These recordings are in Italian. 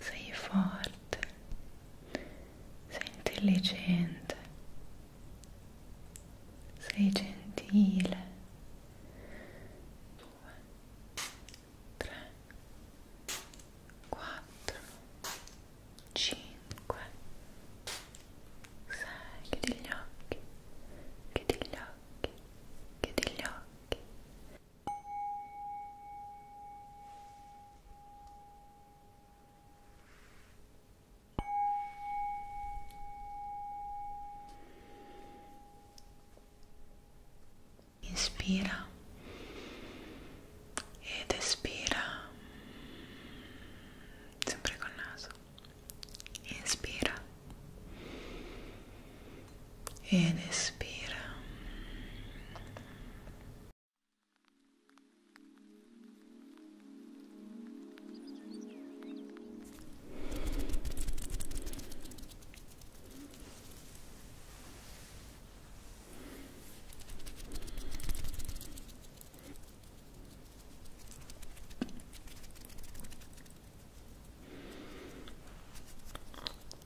Sei forte, sei intelligente, sei gentile. Due, tre, quattro, cinque, sei. Chiudi gli occhi, chiudi gli occhi, chiudi gli occhi occhi. Inspira ed espira sempre col naso. Inspira ed espira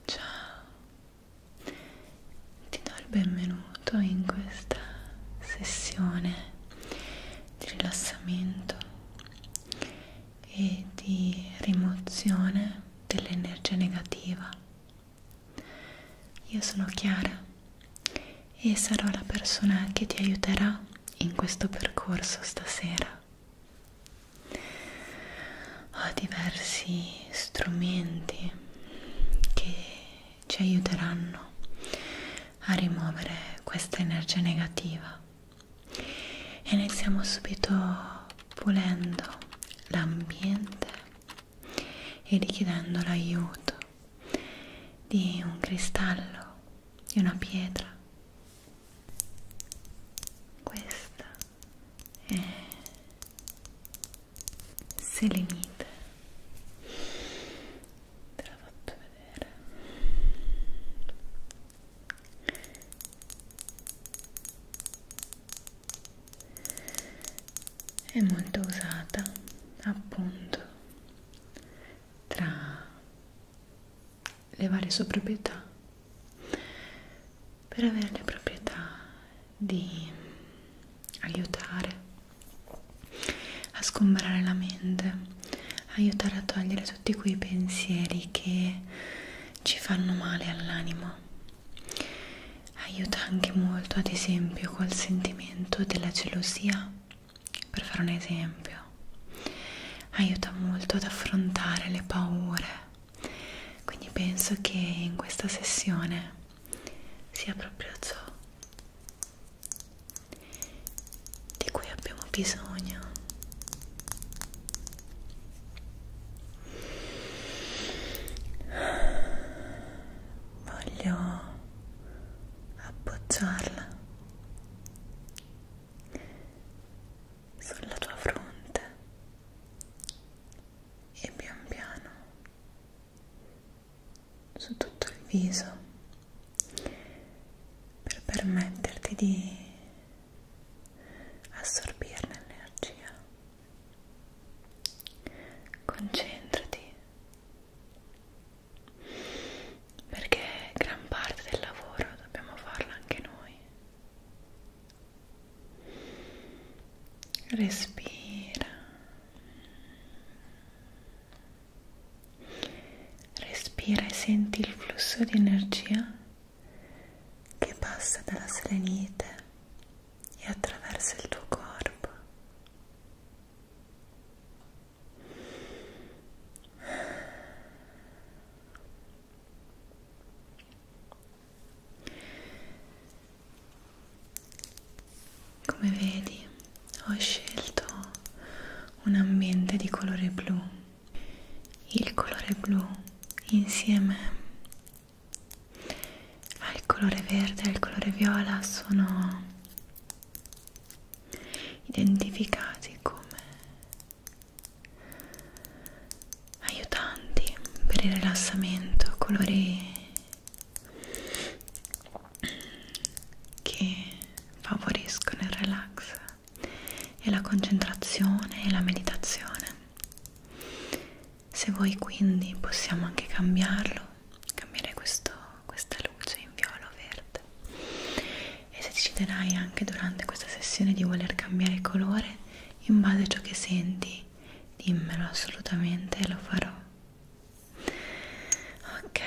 Ciao, ti do il benvenuto in questa sessione di rilassamento e di rimozione dell'energia negativa. Io sono Chiara e sarò la persona che ti aiuterà in questo percorso stasera ho diversi strumenti che ci aiuteranno a rimuovere questa energia negativa e iniziamo subito pulendo l'ambiente e richiedendo l'aiuto di un cristallo, di una pietra questa è selenite te la faccio vedere è molto usata appunto tra le varie sue proprietà per avere le proprietà di aiutare a sgombrare la mente, aiutare a togliere tutti quei pensieri che ci fanno male all'anima. Aiuta anche molto, ad esempio, col sentimento della gelosia, per fare un esempio yoga aiuta molto ad affrontare le paure quindi penso che in questa sessione sia proprio ciò di cui abbiamo bisogno voglio appoggiarla sulla tua fronte e pian piano su tutto il viso per permetterti di assorbirne l'energia concentrati perché gran parte del lavoro dobbiamo farla anche noi. Respira. Respira e senti il flusso di energia che passa dalla selenite e attraversa il tuo corpo. Come vedi, ho scelto un ambiente di colore blu. Il colore blu insieme al colore verde e al colore viola sono identificati come aiutanti per il rilassamento, colori che favoriscono il relax e la concentrazione e la meditazione. Se voi quindi possiamo anche cambiarlo, cambiare questo, questa luce in viola o verde parte e se deciderai anche durante questa sessione di voler cambiare colore in base a ciò che senti dimmelo assolutamente lo farò ok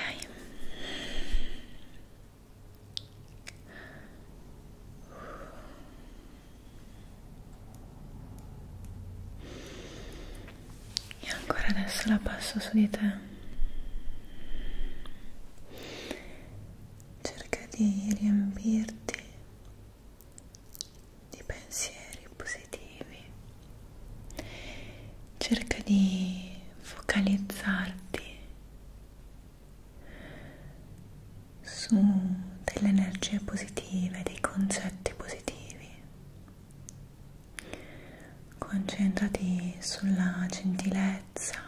e ancora adesso la passo su di te cerca di riempirti di pensieri positivi, cerca di focalizzarti su delle energie positive, dei concetti positivi. Concentrati sulla gentilezza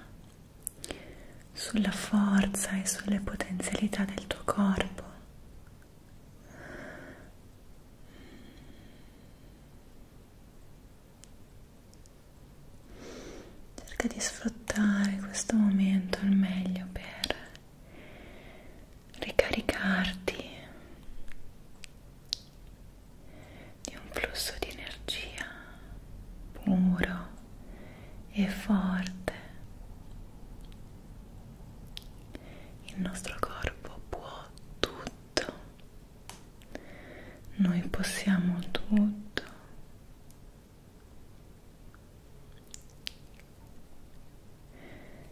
sulla forza e sulle potenzialità del tuo corpo. Cerca di sfruttare questo momento al meglio per ricaricarti di un flusso di energia puro e forte. Il nostro corpo può tutto, noi possiamo tutto.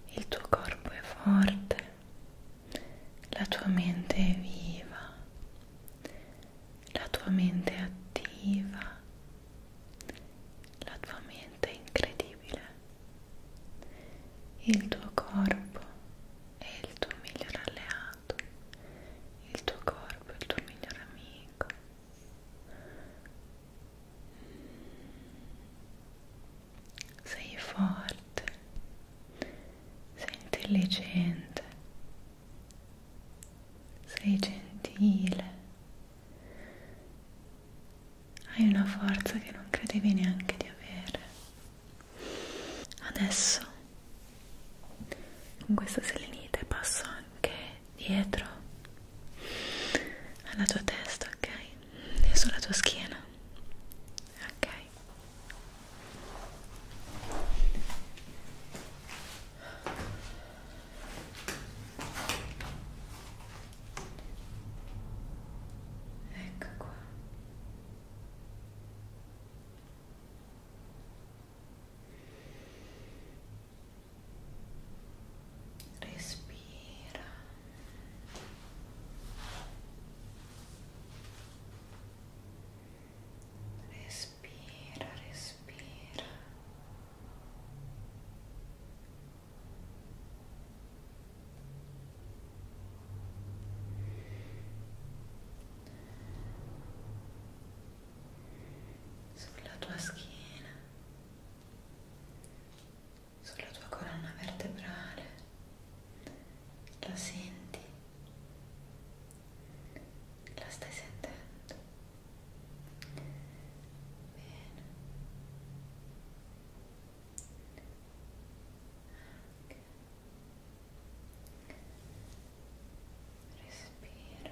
Il tuo corpo è forte, la tua mente è viva, la tua mente è attiva, la tua mente è incredibile, il tuo corpo è il tuo miglior alleato, il tuo corpo è il tuo miglior amico. Sei forte, sei intelligente, sei gentile, hai una forza che non credevi neanche di avere. Adesso con questa selenite passo anche dietro alla tua testa, ok? E sulla tua schiena, ok? ecco qua respira respira respira, respira. Sulla tua schiena, sulla tua colonna vertebrale, la senti ¿La estoy sentando? Bien Respira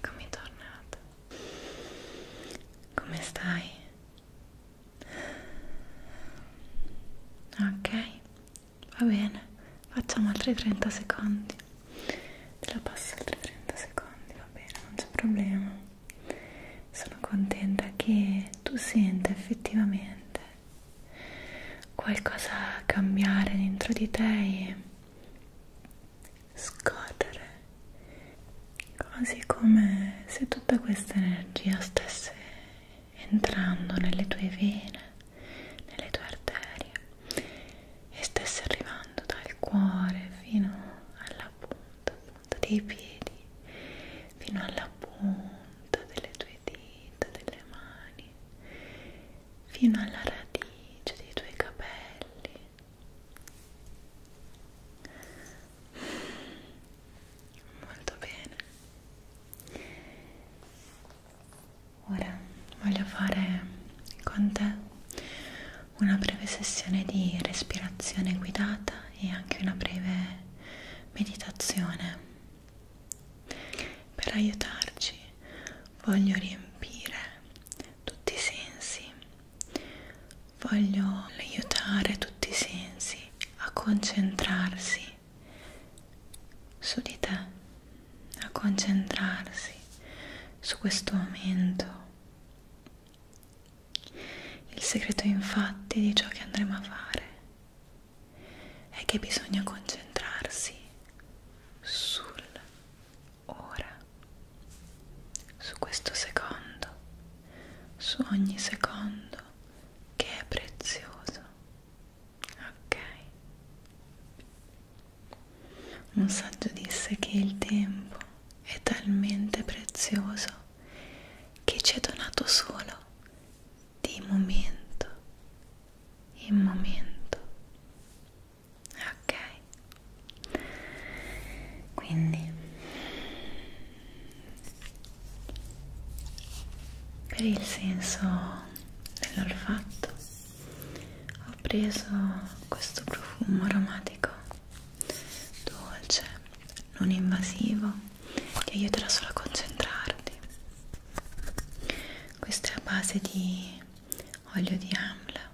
Eccomi tornata come stai? Ok, va bene, facciamo altri 30 secondi. Te la passo altri 30 secondi, va bene, non c'è problema. Sono contenta che tu senta effettivamente qualcosa cambiare dentro di te e scorrere quasi come se tutta questa energia stesse entrando nelle tue vene, nelle tue arterie e stesse arrivando dal cuore fino alla punta, punta dei piedi, fino alla punta delle tue dita, delle mani, fino alla radice dei tuoi capelli Molto bene. Ora voglio fare con te una breve sessione di respirazione guidata e anche una breve meditazione. Per aiutarci voglio riempire tutti i sensi voglio aiutare tutti i sensi a concentrarsi su di te, a concentrarsi su questo momento. Il segreto infatti di ciò che andremo a fare è che bisogna concentrarsi sul ora, su questo secondo, su ogni secondo che è prezioso. Ok? Un saggio disse che il tempo è talmente prezioso che ci è donato solo di momento in momento ok quindi per il senso dell'olfatto ho preso questo profumo aromatico dolce non invasivo ti aiuterà solo a concentrarti questo è a base di olio di amla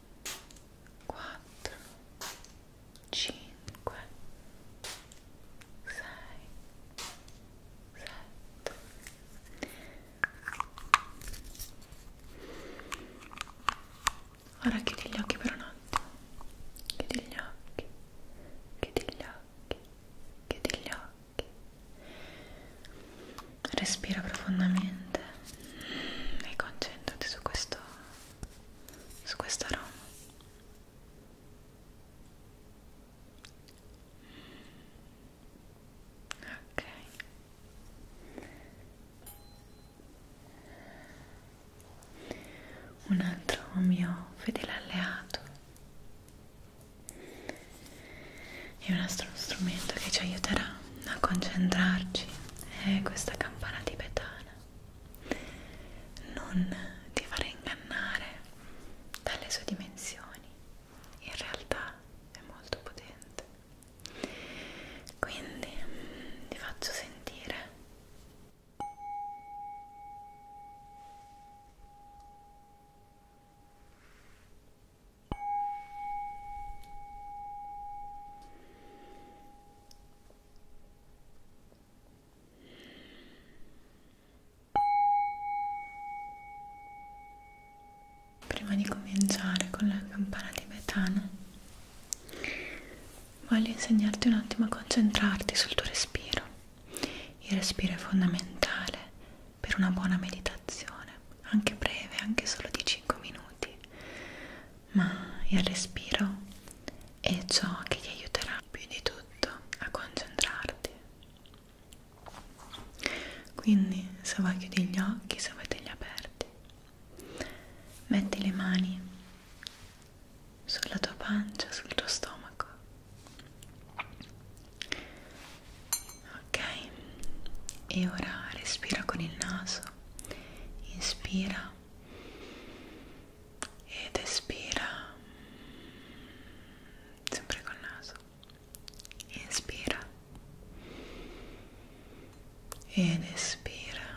4 5 6 7 Ora chiudi gli occhi per un attimo. Chiudi gli occhi. Chiudi gli occhi. Chiudi gli occhi. Respira profondamente e concentrati su questo su questo aroma ok un altro mio fedele alleato è un altro strumento che ci aiuterà a concentrarci è questa campana tibetana non ti fare ingannare dalle sue dimensioni in realtà è molto potente quindi mm, ti faccio sentire Prima di cominciare con la campana tibetana, voglio insegnarti un attimo a concentrarti sul tuo respiro. Il respiro è fondamentale per una buona meditazione, anche breve, anche solo di 5 minuti ma il respiro è ciò che ti aiuterà più di tutto a concentrarti. Quindi se vuoi chiudi gli occhi, se vuoi tegli aperti, metti le mani sulla tua pancia, sul tuo stomaco. Ok, e ora respira con il naso naso inspira ed espira mm, sempre col naso inspira ed espira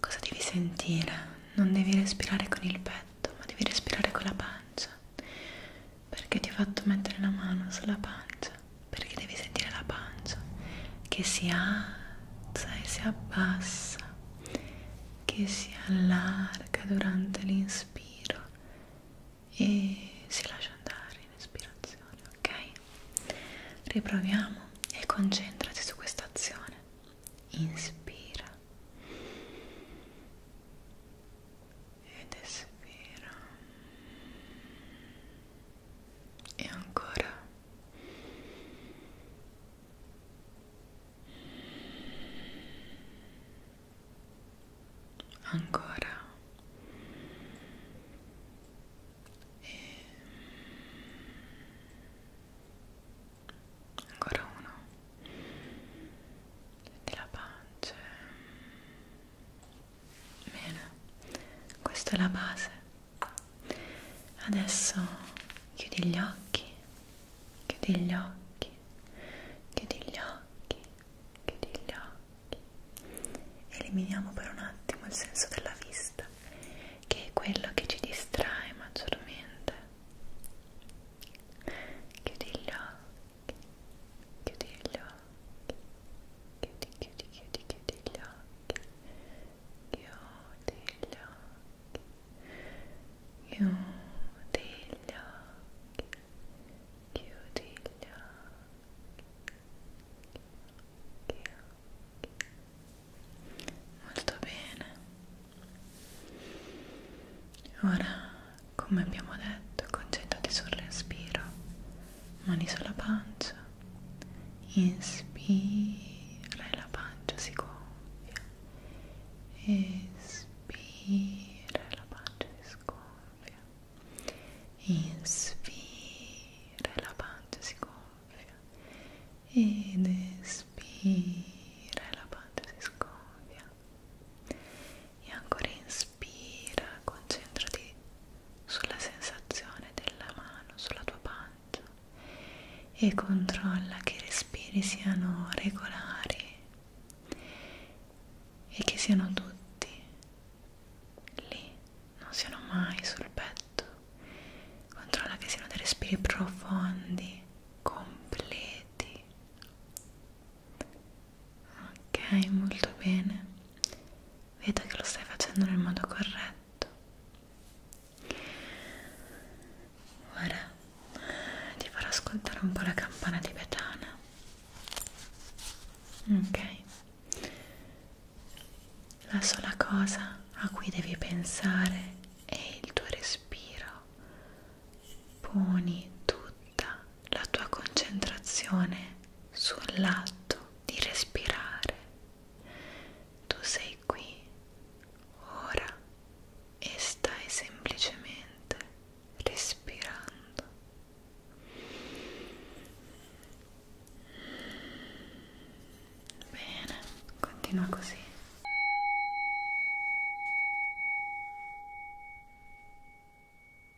cosa devi sentire? non devi respirare con il petto ma devi respirare con la pancia perché ti ho fatto mettere la mano sulla pancia perché devi sentire la pancia che si alza e si abbassa che si allarga durante l'inspiro e si lascia andare in espirazione ok riproviamo e concentrati su questa azione inspira ed espira e ancora ancora e ancora uno della pancia bene questa è la base adesso chiudi gli occhi chiudi gli occhi chiudi gli occhi chiudi gli occhi eliminiamo per un attimo il senso della vista che è quello che ci distrae maggiormente chiudi gli occhi chiudi gli occhi chiudi chiudi chiudi chiudi gli occhi chiudi gli occhi chiudi gli occhi chiudi gli occhi molto bene ora come abbiamo detto concentrati sul respiro mani sulla pancia inspira e la pancia si gonfia espira e la pancia si sgonfia inspira e la pancia si gonfia ed espira e la pancia si sgonfia e ancora inspira inspira, concentrati sulla sensazione della mano sulla tua pancia e controlla che i respiri siano regolari e che siano tutti lì, non siano mai sul petto. Controlla che siano dei respiri profondi, completi ok molto bene vedo che lo stai facendo nel modo corretto ora ti farò ascoltare un po' la campana tibetana ok la sola cosa a cui devi pensare è il tuo respiro poni tutta la tua concentrazione sul lato di respirare. Tu sei qui, ora, e stai semplicemente respirando. Bene, continua così.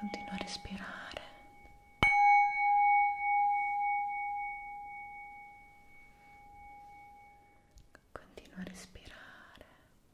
Continua a respirare. Continua a respirare.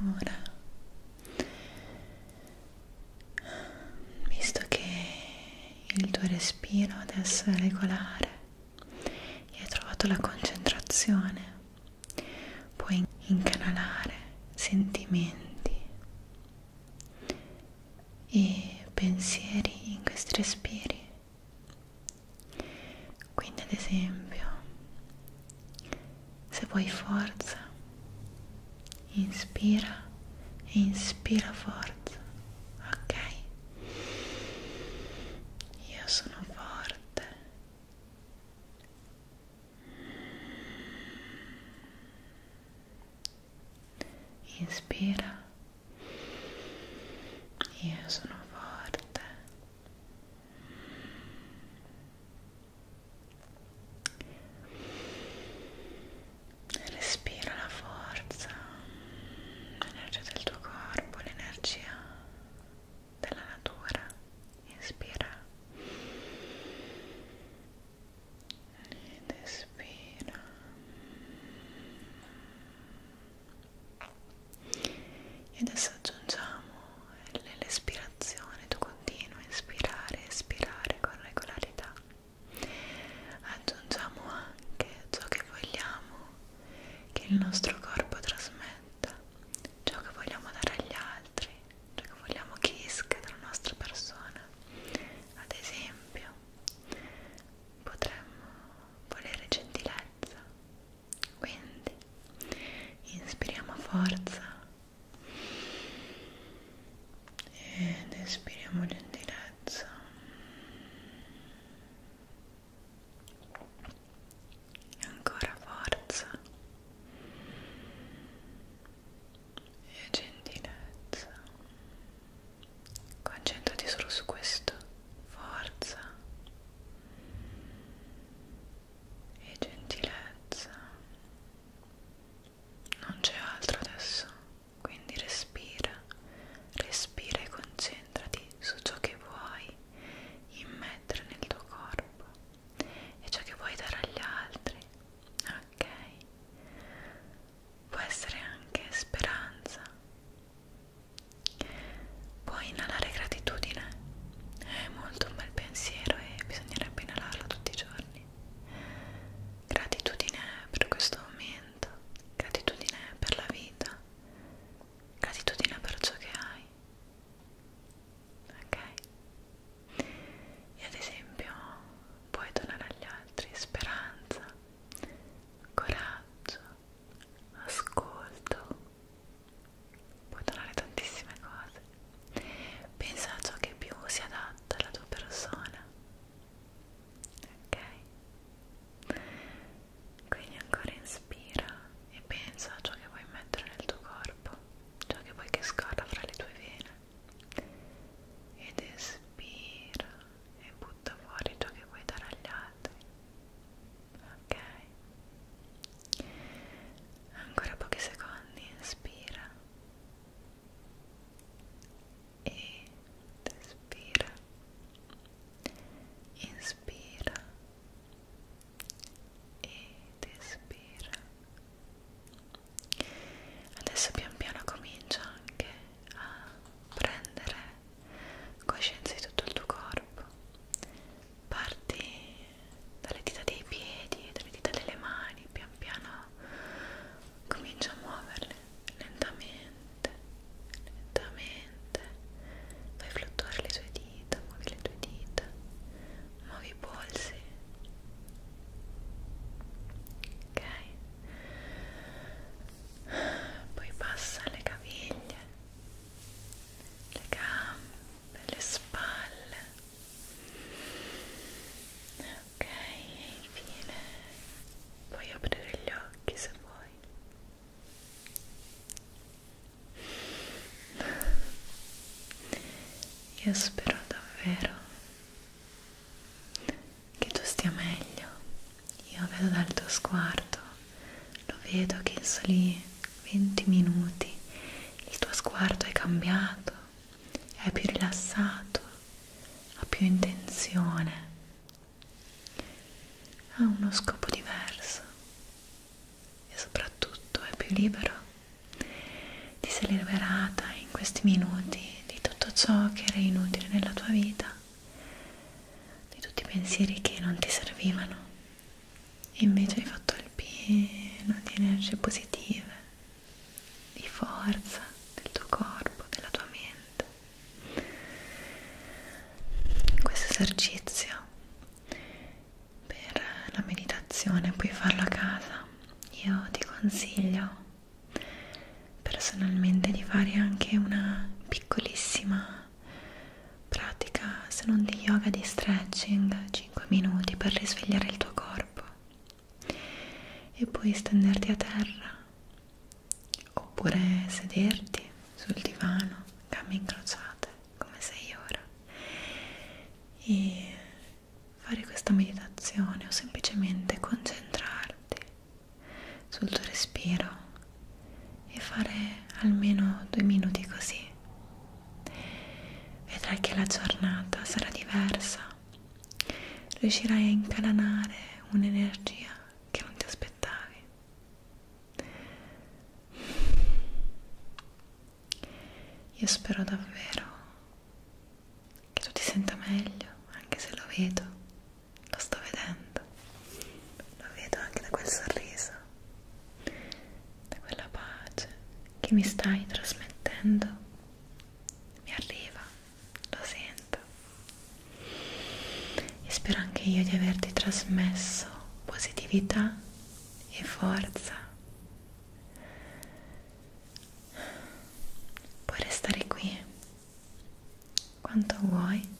Ora, visto che il tuo respiro adesso è regolare e hai trovato la concentrazione puoi incanalare sentimenti e pensieri in questi respiri quindi ad esempio se vuoi forza inspira e inspira forza ok io sono forte Inspira. Io sono forte. Respira la forza, l'energia del tuo corpo, l'energia della natura inspira ed espira e adesso aggiungiamo l'espirazione tu continui a inspirare espirare con regolarità aggiungiamo anche ciò che vogliamo che il nostro corpo trasmetta trasmetta ciò che vogliamo dare agli altri, ciò che vogliamo che esca dalla nostra persona. Ad esempio, potremmo volere gentilezza, quindi inspiriamo forza ed espiriamo gentilezza ancora forza e gentilezza concentrati solo su questo forza e gentilezza non c'è altro adesso quindi respira respira e concentrati su ciò che vuoi immettere nel tuo corpo e ciò che vuoi dare agli altri, ok? Può essere anche speranza. Puoi inalare gratitudine, è molto un bel pensiero e bisognerebbe inalarlo tutti i giorni. Gratitudine per questo momento, gratitudine per la vita, gratitudine per ciò che hai ok? E ad esempio puoi donare agli altri speranza, coraggio, ascolto, puoi donare tantissime cose. Pensa a ciò che più si adatta alla tua persona, ok? Quindi ancora inspira e pensa a ciò che vuoi mettere nel tuo corpo, ciò che vuoi che scorra fra le tue vene ed espira e butta fuori ciò che vuoi dare agli altri. Ok? Ancora pochi secondi, inspira e espira. Inspira ed espira adesso pian piano comincia anche a prendere coscienza di tutto il tuo corpo parti dalle dita dei piedi dalle dita delle mani pian piano comincia a muoverle lentamente lentamente fai fluttuare le tue dita dita, muovi le tue dita, muovi i polsi. Ok. Poi passa le caviglie, le gambe, le spalle. Ok, infine puoi aprire gli occhi se vuoi. Io spero davvero che tu stia meglio. Io vedo dal tuo sguardo, lo vedo che in soli 20 minuti il tuo sguardo è cambiato, è più rilassato, ha più intenzione, ha uno scopo diverso e soprattutto è più libero di sei liberata in questi minuti di tutto ciò che era inutile nella tua vita di tutti i pensieri che non ti servivano e invece hai fatto il pieno di energie positive di forza del tuo corpo, della tua mente questo esercizio per la meditazione puoi farlo a casa io ti consiglio personalmente di fare anche una piccolissima pratica se non di yoga di stretching 5 minuti per risvegliare il tuo corpo e puoi stenderti a terra oppure sederti sul divano gambe incrociate come sei ora e fare questa meditazione o semplicemente concentrarti sul tuo respiro e fare almeno due minuti così vedrai che la giornata sarà diversa riuscirai a incanalare un'energia che non ti aspettavi io spero davvero che tu ti senta meglio, anche se lo vedo, lo sto vedendo, lo vedo anche da quel sorriso, da quella pace che mi stai trasmettendo, mi arriva, lo sento e spero anche io di averti trasmesso positività e forza. Puoi restare qui quanto vuoi.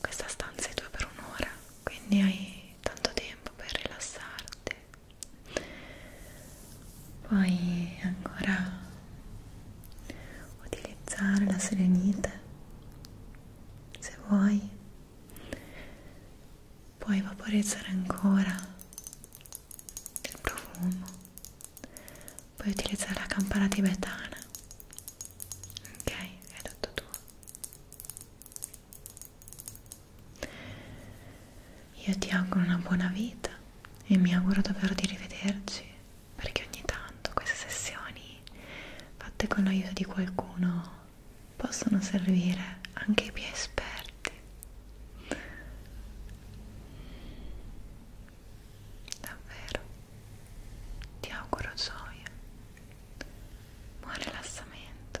Questa stanza è tua per un'ora, quindi hai tanto tempo per rilassarti. Puoi ancora utilizzare la serenite se vuoi puoi vaporizzare ancora il profumo puoi utilizzare la campana tibetana ok è tutto tuo io ti auguro una buona vita e mi auguro davvero di rivederci perché ogni tanto queste sessioni fatte con l'aiuto di qualcuno possono servire anche ai più esperti davvero ti auguro gioia buon rilassamento